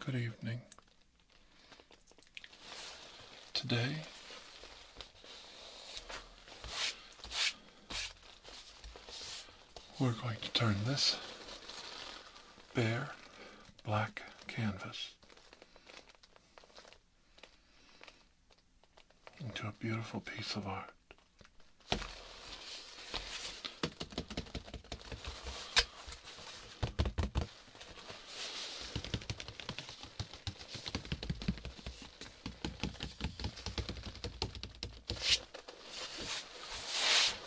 Good evening. Today, we're going to turn this bear black canvas into a beautiful piece of art.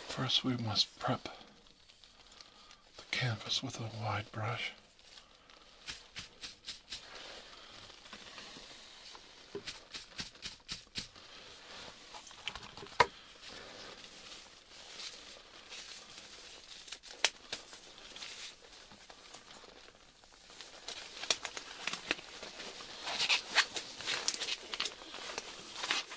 First, we must prep the canvas with a wide brush.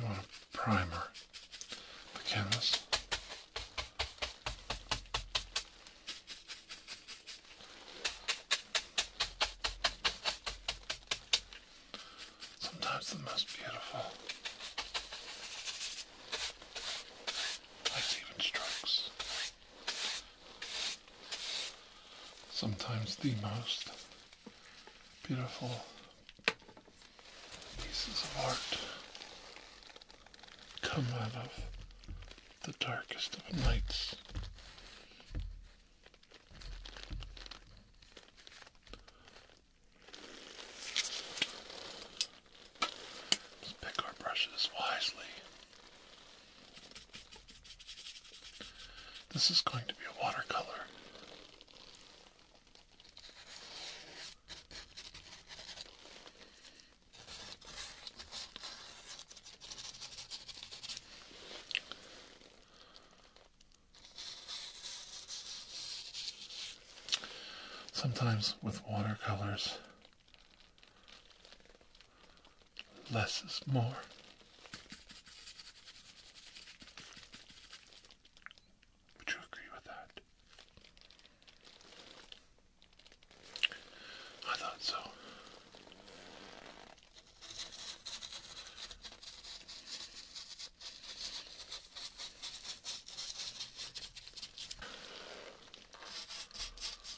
I want a primer the canvas. Sometimes the most beautiful. Like strokes sometimes the most beautiful pieces of art come out of the darkest of nights. Let's pick our brushes wisely. This is going to be a watercolor. Sometimes with watercolors, Less is more. Would you agree with that? I thought so.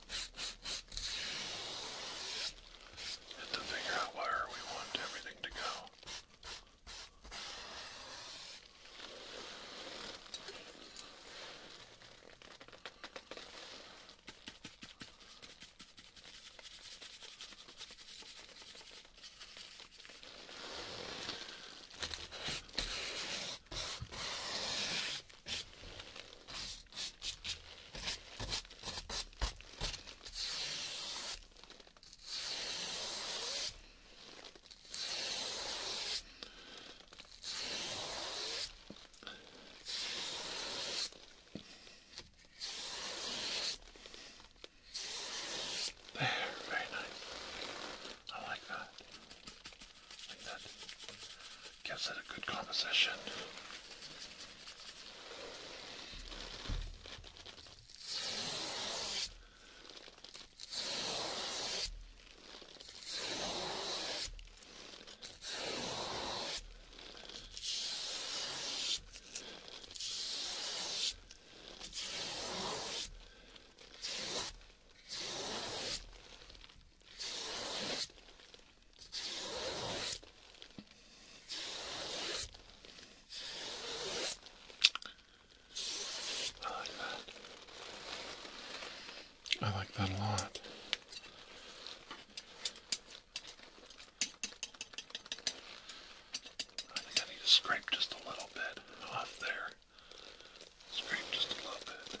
and to figure out where we want everything to go. There, very nice. I like that like that. Gives it a good composition. I like that. I like that a lot. I think I need to scrape just a little bit off there. Scrape just a little bit.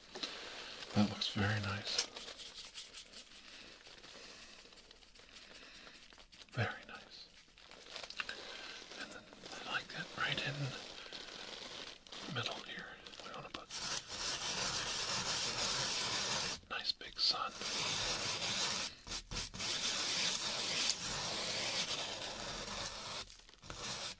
That looks very nice. Very nice. And then I like that right in the middle here. We want to put nice big sun.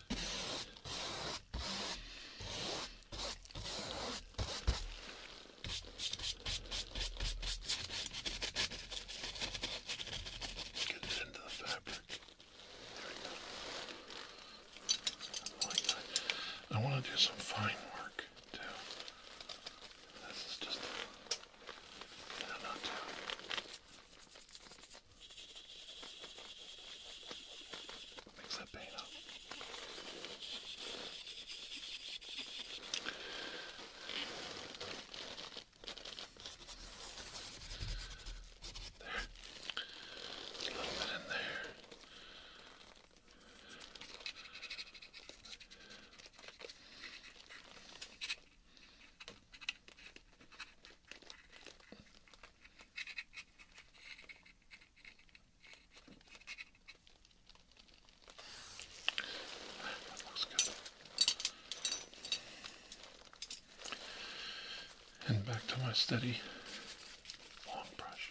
Get it into the fabric. There we go. I like that. I want to do some fine work too. This is just. No, not too. Mix that paint up. There. A little bit in there. That looks good. And back to my steady long brush.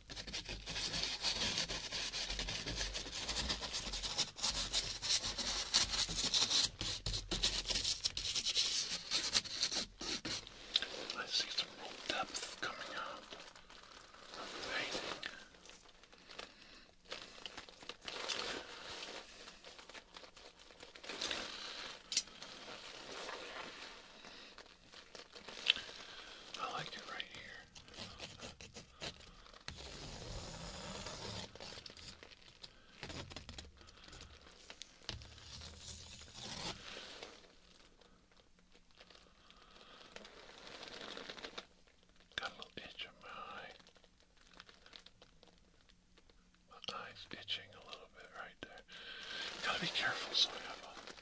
I see some real depth coming out of the painting. I like it right here. Got a little itch in my eye. My eye's itching a little bit right there. Gotta be careful so I have a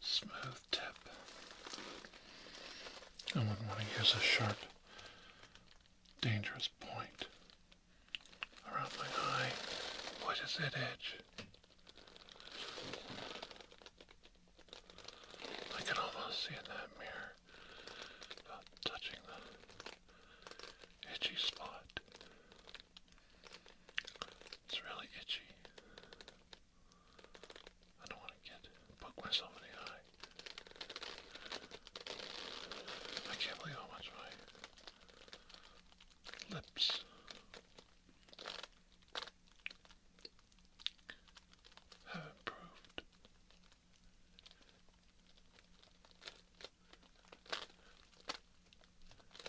smooth tip. I wouldn't want to use a sharp, dangerous point around my eye. Why does it itch? I can almost see in that mirror about touching the itchy spot. It's really itchy. I don't want to get poke myself in the eye. I can't believe how much my lips have improved.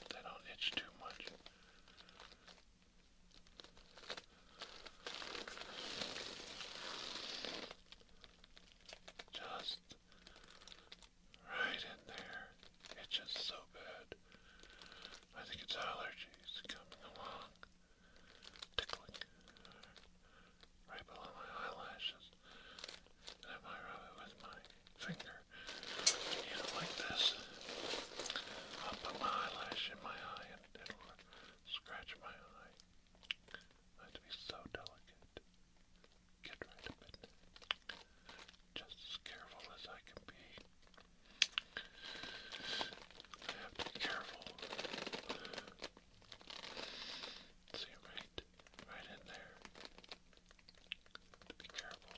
They don't itch too much. Just right in there. Itches so bad. I think it's allergies coming along. Tickling. Right below my eyelashes. And I rub it with my finger. You know, like this. I'll put my eyelash in my eye it'll scratch my eye. I have to be so delicate. Get right of it. Just as careful as I can be. I have to be careful. See right, right in there. To be careful.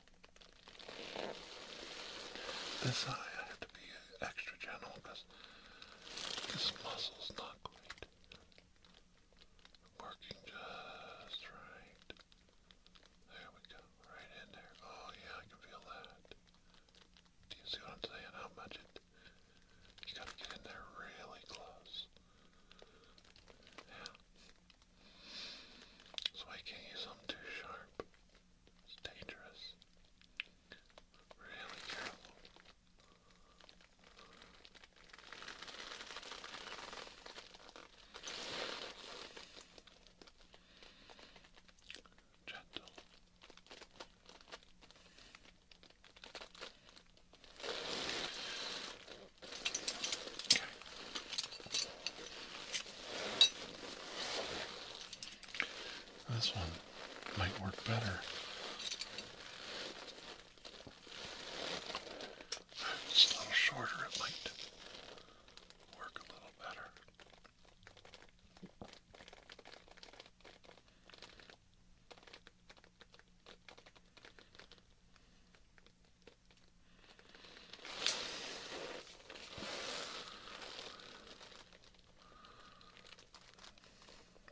This eye, I have to be extra gentle because this muscle's not quite working just right. There we go, right in there. Oh yeah, I can feel that. Do you see what I'm saying? How much it? You gotta get in there really close. Yeah. So I can't use them too sharp. It's dangerous. Really careful. Gentle. Okay. This one might work better. it's a little shorter, it might work a little better.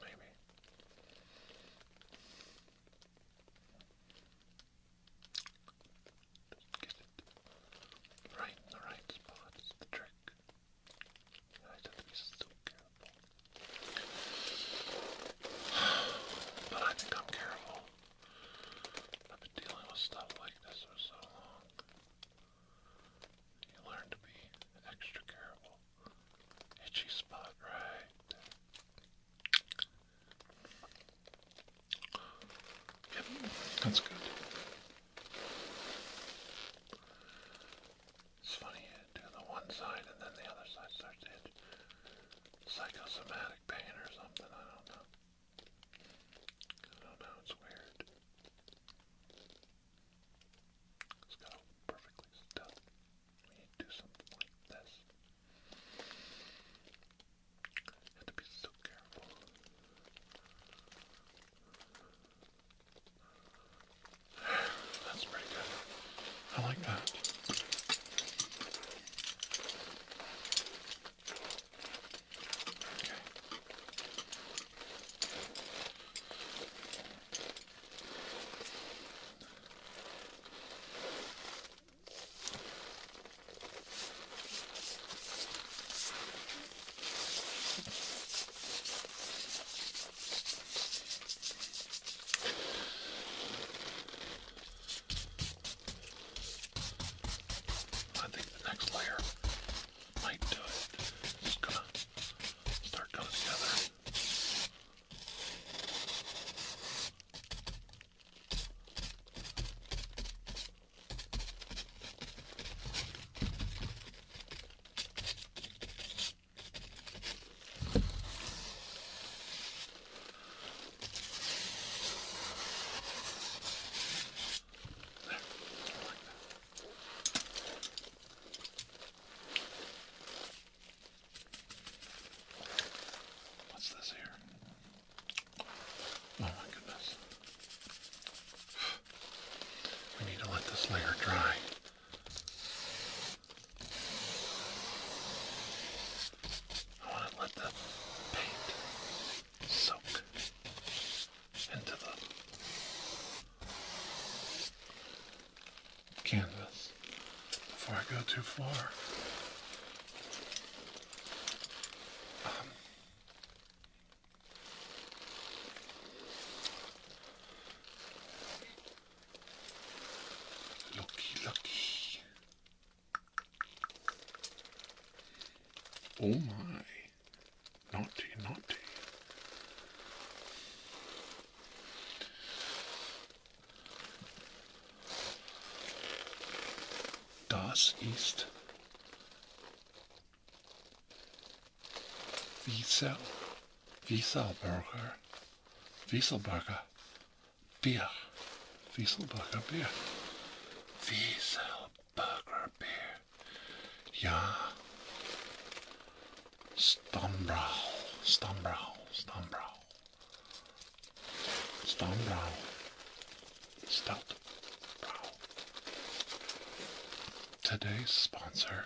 Maybe. get it right in the right spot is the trick. I have to be so careful. But I think I'm careful. I've been dealing with stuff like this for so long. You learn to be extra careful. Itchy spot, right? Yep, that's good. It's funny, you the one side and then the other side starts to Psychosomatic pain or something, I don't know. I don't know, it's weird. It's got all perfectly stuck. We need to do something like this. You have to be so careful. That's pretty good. I like that. Okay. I think the next layer might do it. Just gonna start coming together. What's this here? Oh my goodness. We need to let this layer dry. I want to let the paint soak into the canvas before I go too far. Um, looky, Oh my. naughty, naughty. Das ist Wiesel, Wieselburger, Wieselburger Bier, Wieselburger Bier, Wieselburger. Burger Beer. Ja. Stambrau. Stambrau. Stambrau. Stambrau. Stout. Today's sponsor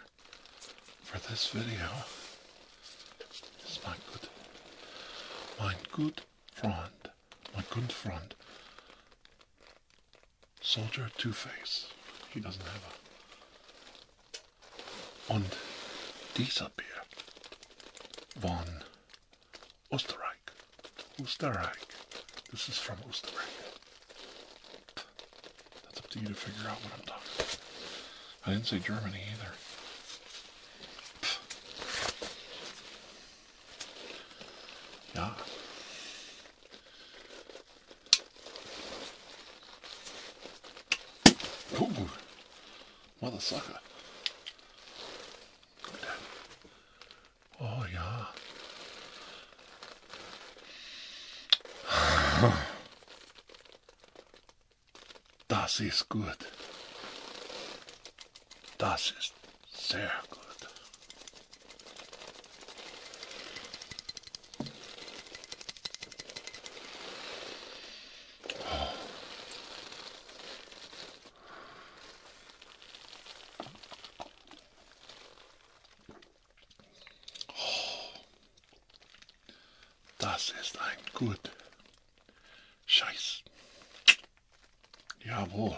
for this video is my good, my good friend, my good friend, Soldier Two-Face. He doesn't have a... Und dieser Bier von Österreich. Österreich. This is from Österreich. That's up to you to figure out what I'm talking I didn't say Germany either. Yeah. Ooh, mother Oh yeah. Das ist gut. Das ist sehr gut. Das ist ein gut. Scheiß. Jawohl.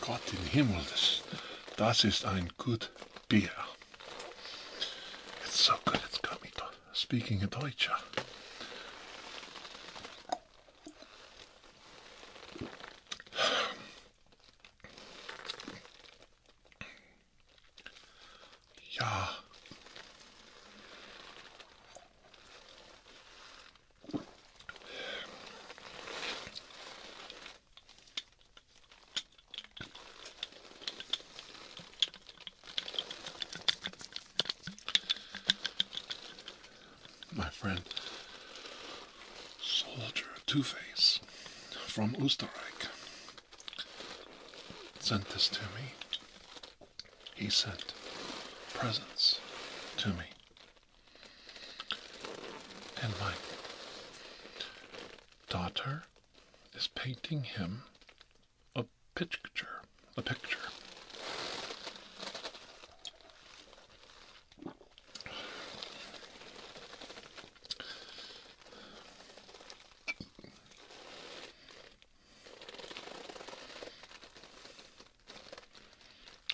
Gott im Himmel, das, das ist ein gut Bier. It's so good, it's got me speaking a Deutscher. Ja. My friend Soldier Two Face from Österreich sent this to me. He sent presents to me and my daughter is painting him a picture. A picture.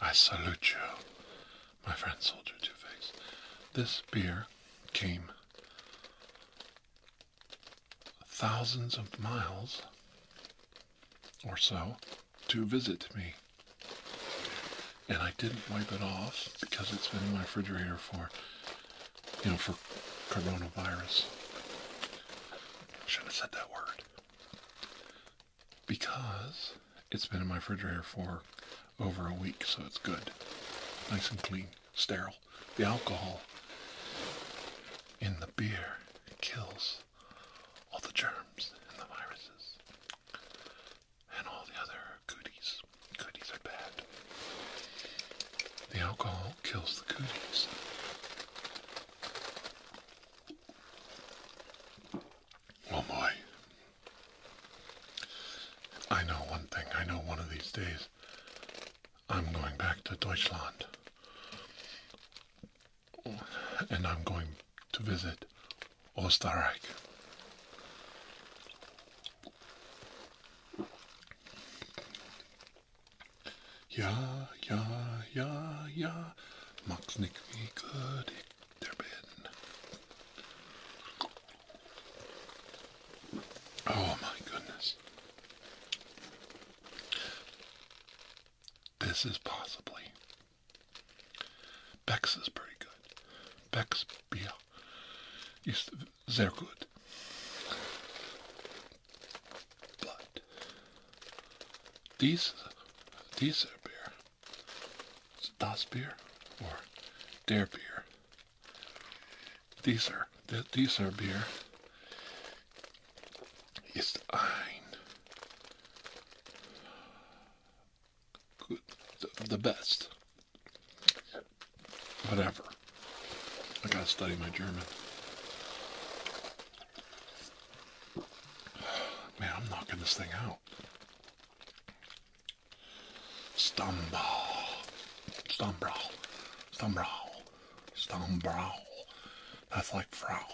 I salute you, my friend Soldier Two Face. This beer came thousands of miles or so to visit me. And I didn't wipe it off because it's been in my refrigerator for, you know, for coronavirus. Shouldn't have said that word because it's been in my refrigerator for over a week, so it's good. Nice and clean, sterile. The alcohol in the beer kills all the germs and the viruses and all the other goodies. Cooties are bad. The alcohol kills the goodies. Oh boy. I know one thing. I know one of these days I'm going back to Deutschland. And I'm going to visit Österreich. Ja, ja, ja, ja, mag's nicht wie they're bitten. Oh my goodness. This is possibly. Bex is pretty good. Bex beer is very good. But these these are beer Das beer or Dare beer. These are these are beer. It's ein. Good, the best. Whatever. I gotta study my German. Man, I'm knocking this thing out. Stumble, stumble, stumble, stumble. That's like Frau.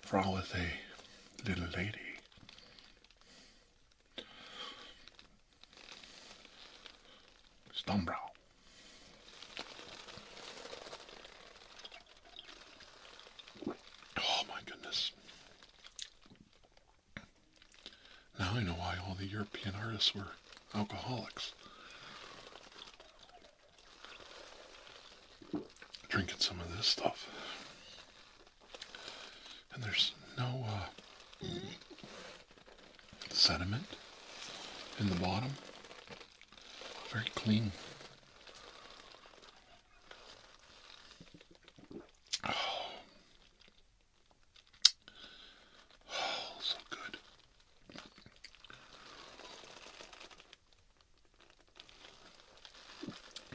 Frau is a little lady. Stumble. Oh my goodness. Now I know why all the European artists were alcoholics. Drinking some of this stuff. And there's no uh, sediment in the bottom. Very clean. Oh, oh so good.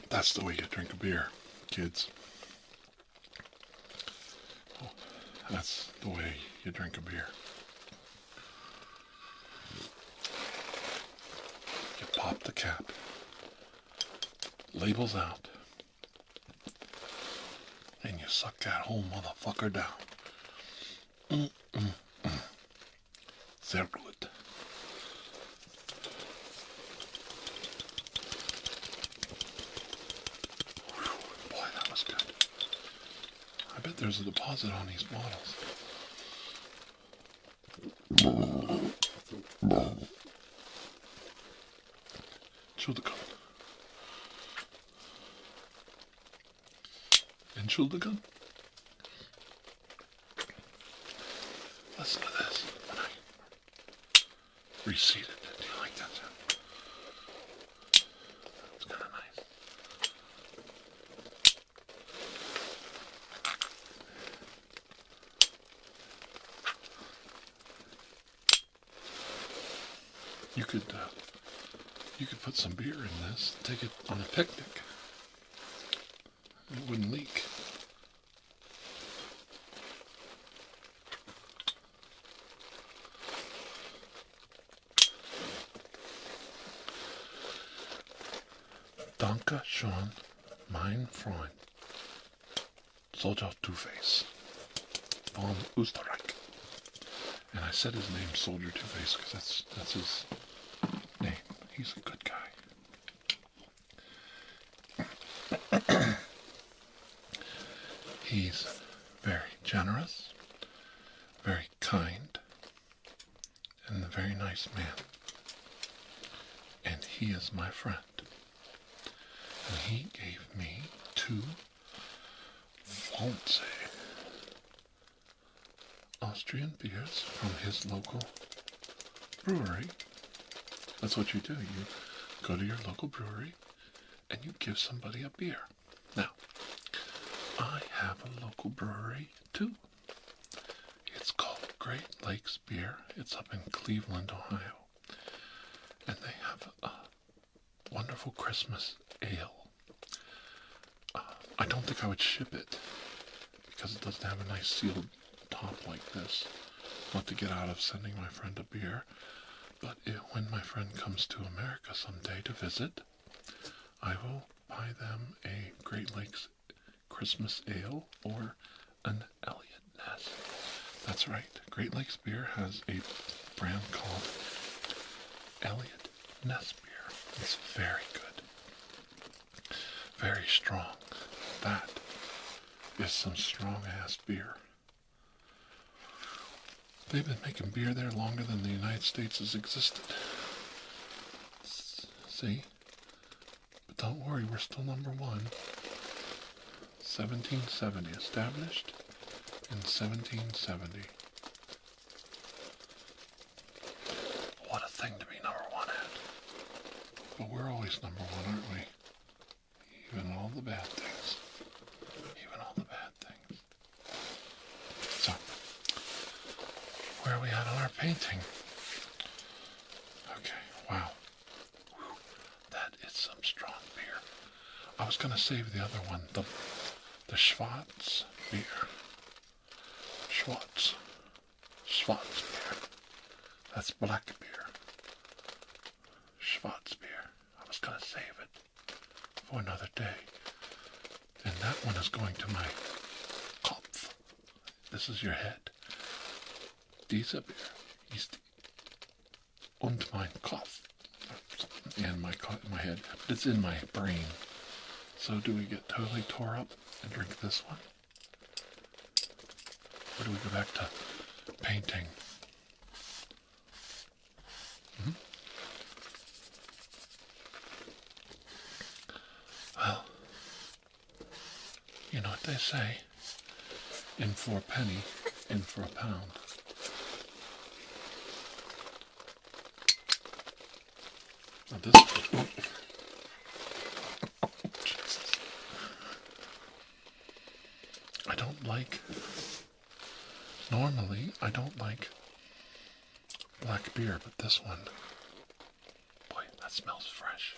That's the way you drink a beer, kids. Oh, that's the way you drink a beer. You pop the cap, labels out, and you suck that whole motherfucker down. They're good. boy, that was good. I bet there's a deposit on these bottles. Shoulder gun. And shoulder gun. Listen to this. When I reseat it. Do you like that sound? It's kind of nice. You could uh, you could put some beer in this, take it on a picnic. It wouldn't leak. Danke, Sean. Mein Freund, Soldier Two Face, von Österreich. And I said his name, Soldier Two Face, because that's that's his name. He's a good guy. He's very generous, very kind, and a very nice man. And he is my friend. And he gave me two fancy Austrian beers from his local brewery. That's what you do. You go to your local brewery and you give somebody a beer. Now, I have a local brewery too. It's called Great Lakes Beer. It's up in Cleveland, Ohio. And they have a wonderful Christmas ale. Uh, I don't think I would ship it because it doesn't have a nice sealed top like this. Want to get out of sending my friend a beer. But when my friend comes to America someday to visit, I will buy them a Great Lakes Christmas ale or an Elliot Ness. That's right. Great Lakes Beer has a brand called Elliot Ness Beer. It's very good. Very strong. That is some strong ass beer. They've been making beer there longer than the United States has existed. See? But don't worry, we're still number one. 1770, established in 1770. What a thing to be number one at. But we're always number one, aren't we? Even all the bad things. Even all the bad things. So, where are we at on our painting? Okay, wow. That is some strong beer. I was gonna save the other one, the the Schwartz beer. Schwartz. Schwartz beer. That's black beer. Schwartz beer. I was gonna save it for another day. And that one is going to my Kopf this is your head. Dieser Bär ist und mein Kopf. And my, my head. it's in my brain. So do we get totally tore up and drink this one? Or do we go back to painting? Hmm? Well, you know what they say? In for a penny, in for a pound. I don't like. Normally, I don't like black beer, but this one Boy, that smells fresh.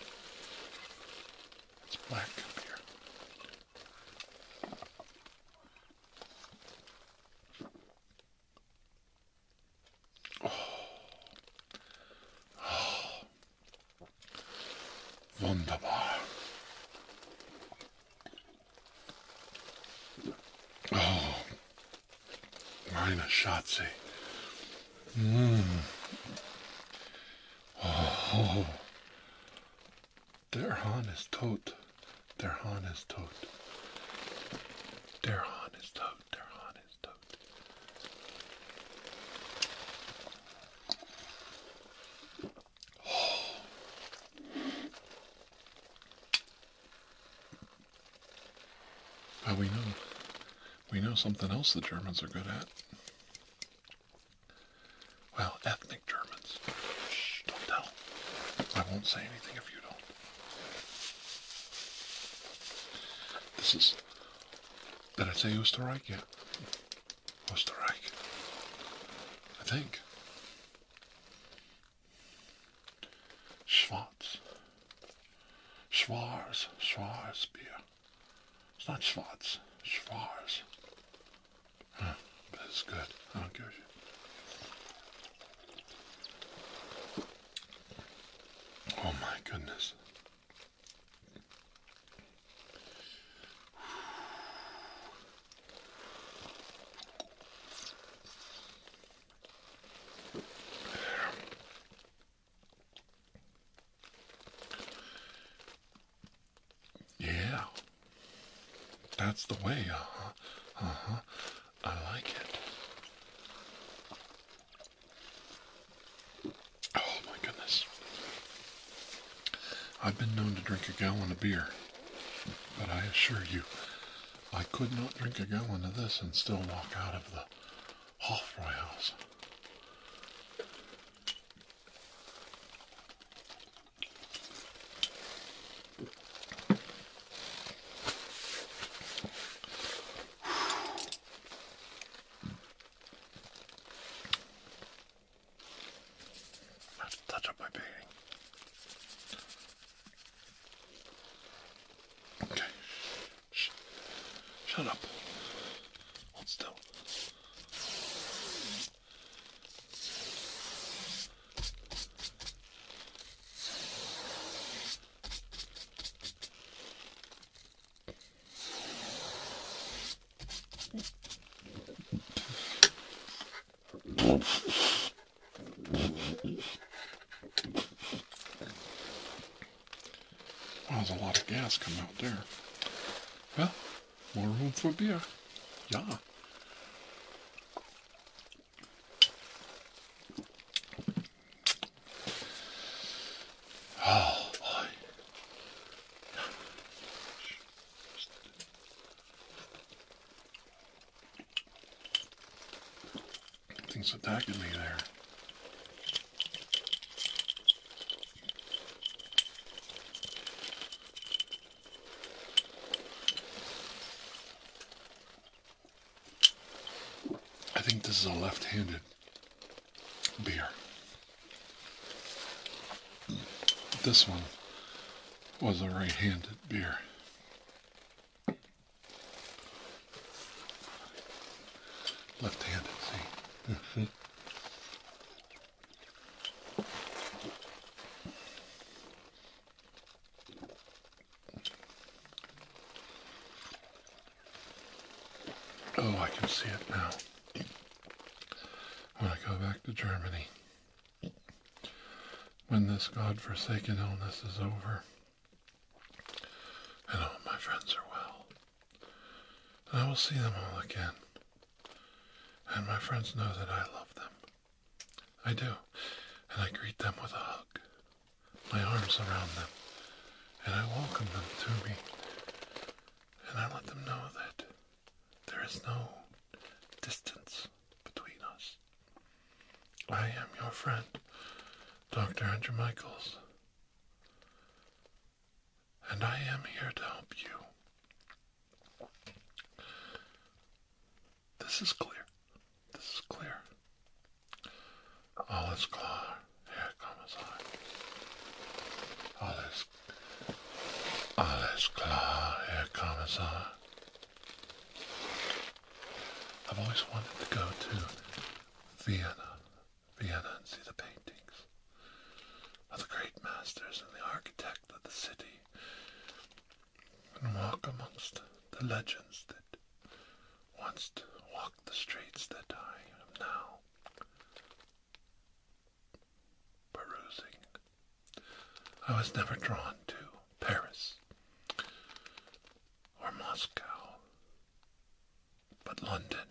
It's black beer. Oh. oh. Wunderbar. Oh, Marina Shotzi. Mmm. Eh? Oh. their hand is tot. Their hand is tot. Their hand is tot. Their hand is tot. Oh. we know we know something else the Germans are good at. Well, ethnic Germans. don't tell. I won't say anything if you don't. This is. Did I say Österreich yet? Österreich. I think. Schwarz. Schwarz, Schwarz beer. It's not Schwarz, Schwarz. but it's good. I don't give Oh my goodness. Yeah. That's the way, uh huh. Uh huh. I like it. Oh my goodness. I've been known to drink a gallon of beer, but I assure you, I could not drink a gallon of this and still walk out of the Half rails. touch up my beating. Shh. Shut up. Hold still. Wow, there's a lot of gas coming out there. Well, more room for beer. Yeah. Oh boy. Something's attacking me there. I think this is a left-handed beer. This one was a right-handed beer. Left-handed, see? Mm-hmm. Oh, I can see it now. When I go back to Germany, when this godforsaken illness is over, and all my friends are well. And I will see them all again. And my friends know that I love them. I do. And I greet them with a hug, my arms around them, and I welcome them to me. And I let them know that there is no distance between us. I am your friend, Dr. Andrew Michaels, and I am here to help you. This is clear. This is clear. All is klar, Herr Kommissar. All is, all is I've always wanted to go to Vienna. Vienna and see the paintings of the great masters and the architect of the city and walk amongst the legends that once walked the streets that I am now perusing. I was never drawn to Paris or Moscow but London.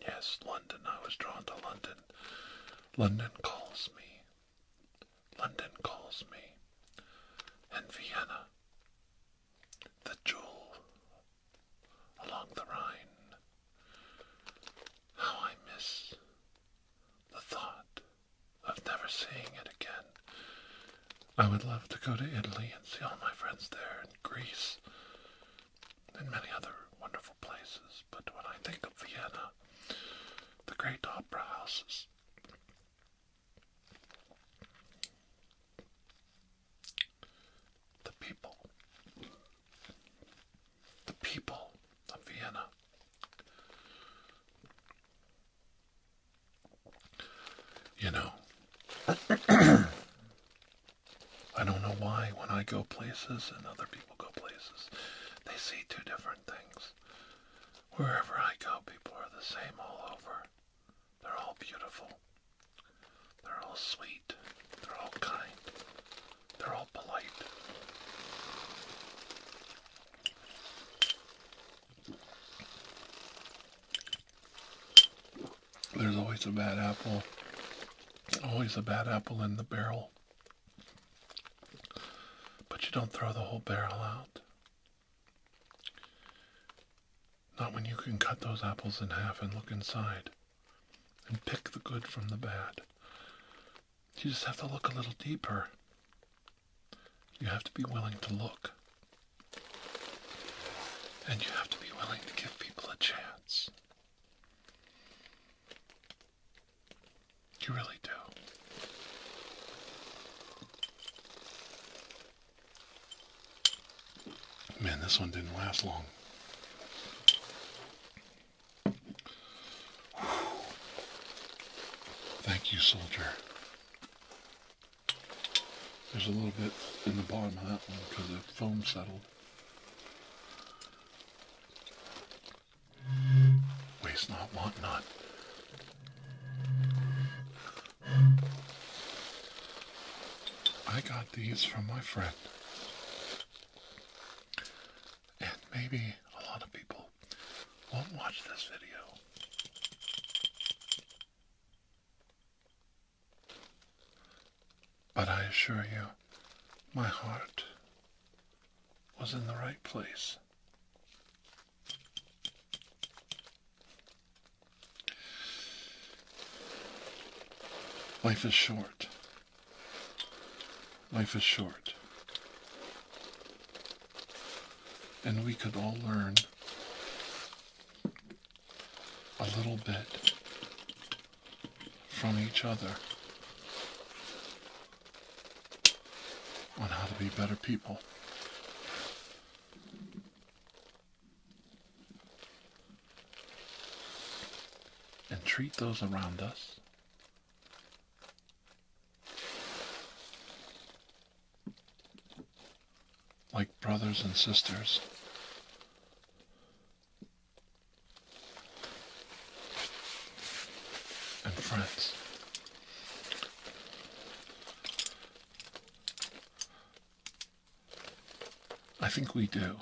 Yes, London. I was drawn to London. London calls me. London calls me. And Vienna. The jewel along the Rhine. How I miss the thought of never seeing it again. I would love to go to Italy and see all my friends there, and Greece, and many other wonderful places. But when I think of Vienna, the great opera houses, the people, the people of Vienna, you know, I don't know why when I go places and other people go places, they see two different things. Wherever I go, people are the same all over. They're all beautiful. They're all sweet. They're all kind. They're all polite. There's always a bad apple. Always a bad apple in the barrel. But you don't throw the whole barrel out. Not when you can cut those apples in half and look inside and pick the good from the bad. You just have to look a little deeper. You have to be willing to look. And you have to be willing to give people a chance. You really do. Man, this one didn't last long. Thank you, soldier. There's a little bit in the bottom of that one because the foam settled. Waste not, want not. I got these from my friend. And maybe a lot of people won't watch this video. But I assure you, my heart was in the right place. Life is short. Life is short. And we could all learn a little bit from each other on how to be better people. And treat those around us like brothers and sisters. And friends. I think we do.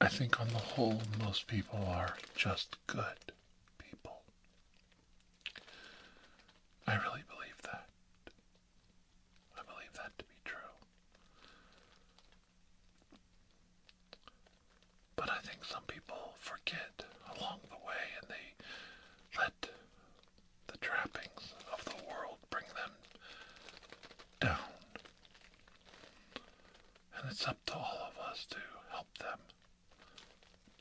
I think on the whole, most people are just good people. I really believe that. I believe that to be true. But I think some people forget along the way and they let the trappings of the world bring them down. And it's up to all of us to help them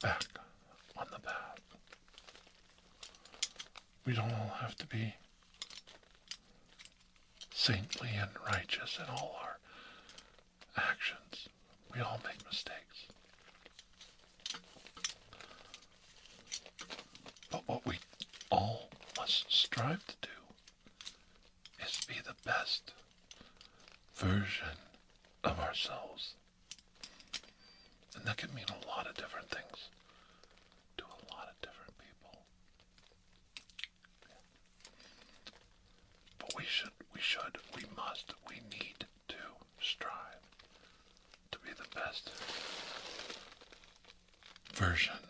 back on the path. We don't all have to be saintly and righteous in all our actions. We all make mistakes. But what we all must strive to do is be the best version of ourselves and that could mean a lot of different things to a lot of different people. But we should, we should, we must, we need to strive to be the best version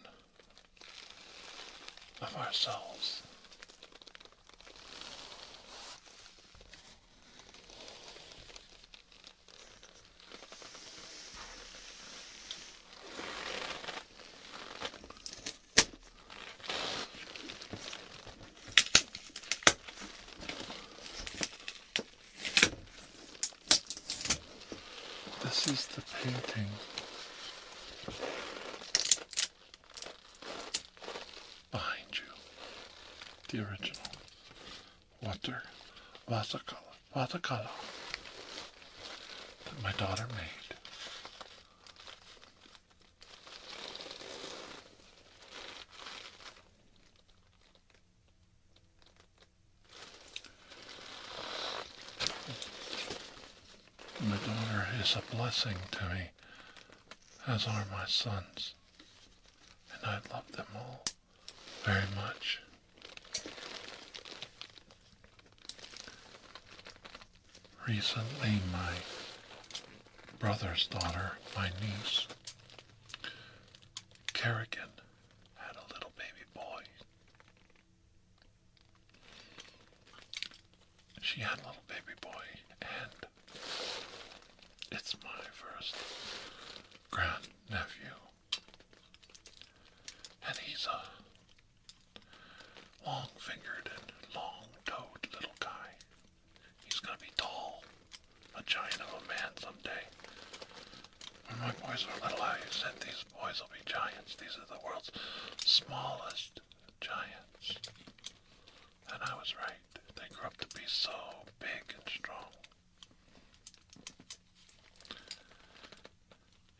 of ourselves. This is the painting behind you. The original water watercolor, watercolor that my daughter made. My daughter is a blessing to me, as are my sons and I love them all very much. Recently, my brother's daughter, my niece, Kerrigan, had a little baby boy. She had a little baby boy, and it's my first grand nephew, and he's a long fingered and long toed little guy. He's gonna be tall, a giant of a man someday. When my boys were little, I said these boys will be giants. These are the world's smallest giants. And I was right. They grew up to be so big and strong.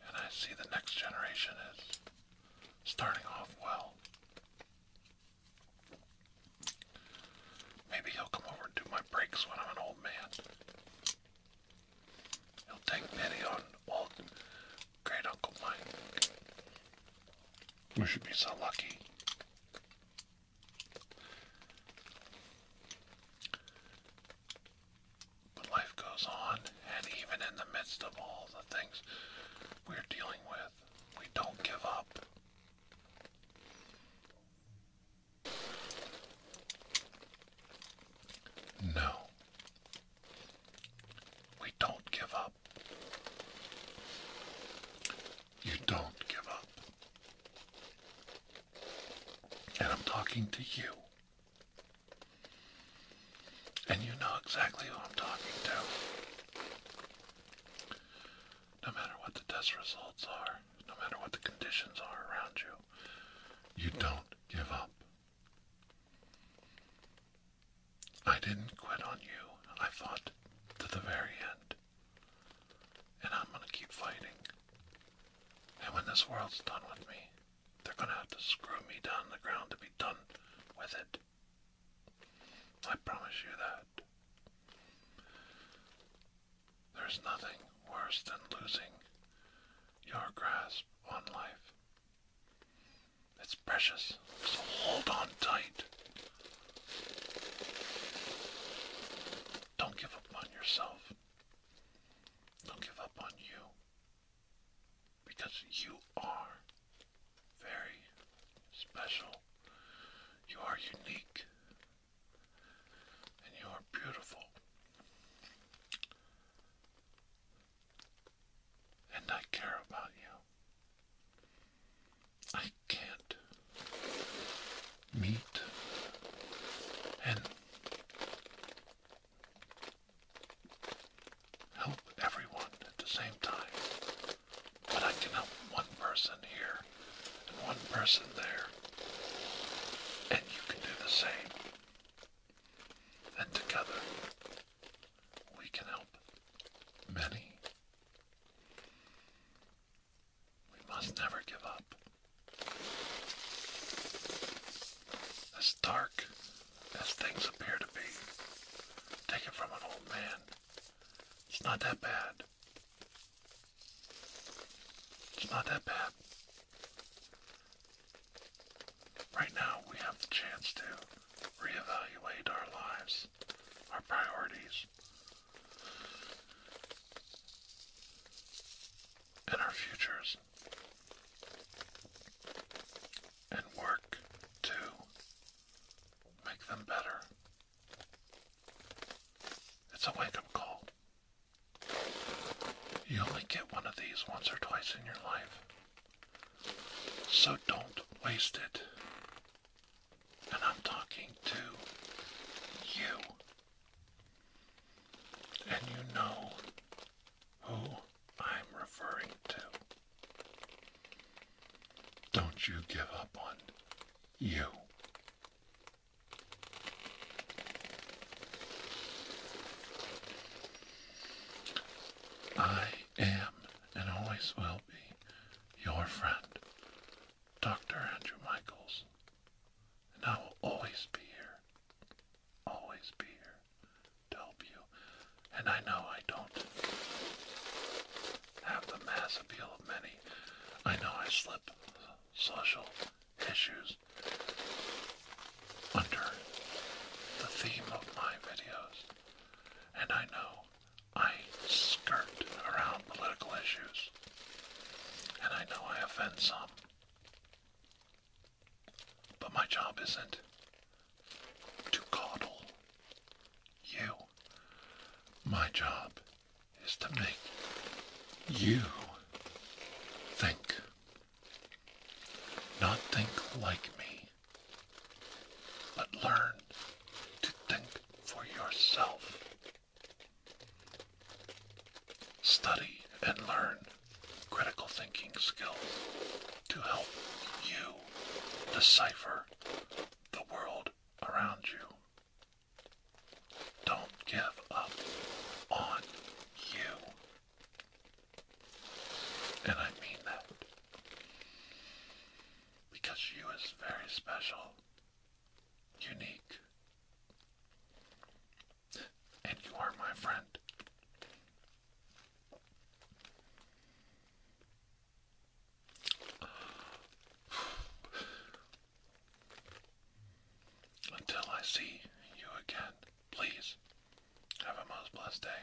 And I see the next generation is starting off well. Maybe he'll come over and do my breaks when I'm an old man. He'll take pity on old great Uncle Mike. We should be so lucky. But life goes on, and even in the midst of all the things we're dealing with, we don't give up. No. We don't give up. You don't give up. And I'm talking to you. And you know exactly who I'm talking to. No matter what the test results are, no matter what the conditions are around you, you don't give up. I didn't quit on you. I fought to the very end. And I'm going to keep fighting. And when this world's done with me, they're going to have to screw me down the ground to be done with it. I promise you that. There's nothing worse than losing your grasp on life. It's precious, so hold on tight. Don't give up on yourself. Don't give up on you. Because you are very special. You are unique. And you are beautiful. And I care about you. I can't meet and help everyone at the same time. But I can help one person here and one person there. And you can do the same. And together, we can help many. We must never give up. As dark as things appear to be, take it from an old man. It's not that bad. It's not that bad. Right now, we have the chance to reevaluate our lives, our priorities, and our futures and work to make them better. It's a wake up call. You only get one of these once or twice in your life. So don't waste it. And I'm talking to you. And you know who I'm referring to. Don't you give up on you. I am and always will be your friend Dr. Andrew Michaels, and I will always be here, always be here to help you. And I know I don't have the mass appeal of many. I know I slip social issues under the theme of my videos, and I know I skirt around political issues, and I know I offend some. But my job isn't to coddle you. My job is to make you think. Not think like me, but learn to think for yourself. Study and learn critical thinking skills to help you decipher the world around you. Don't give up on you. And I mean that. Because you is very special unique. And you are my friend. Until I see you again, please have a most blessed day.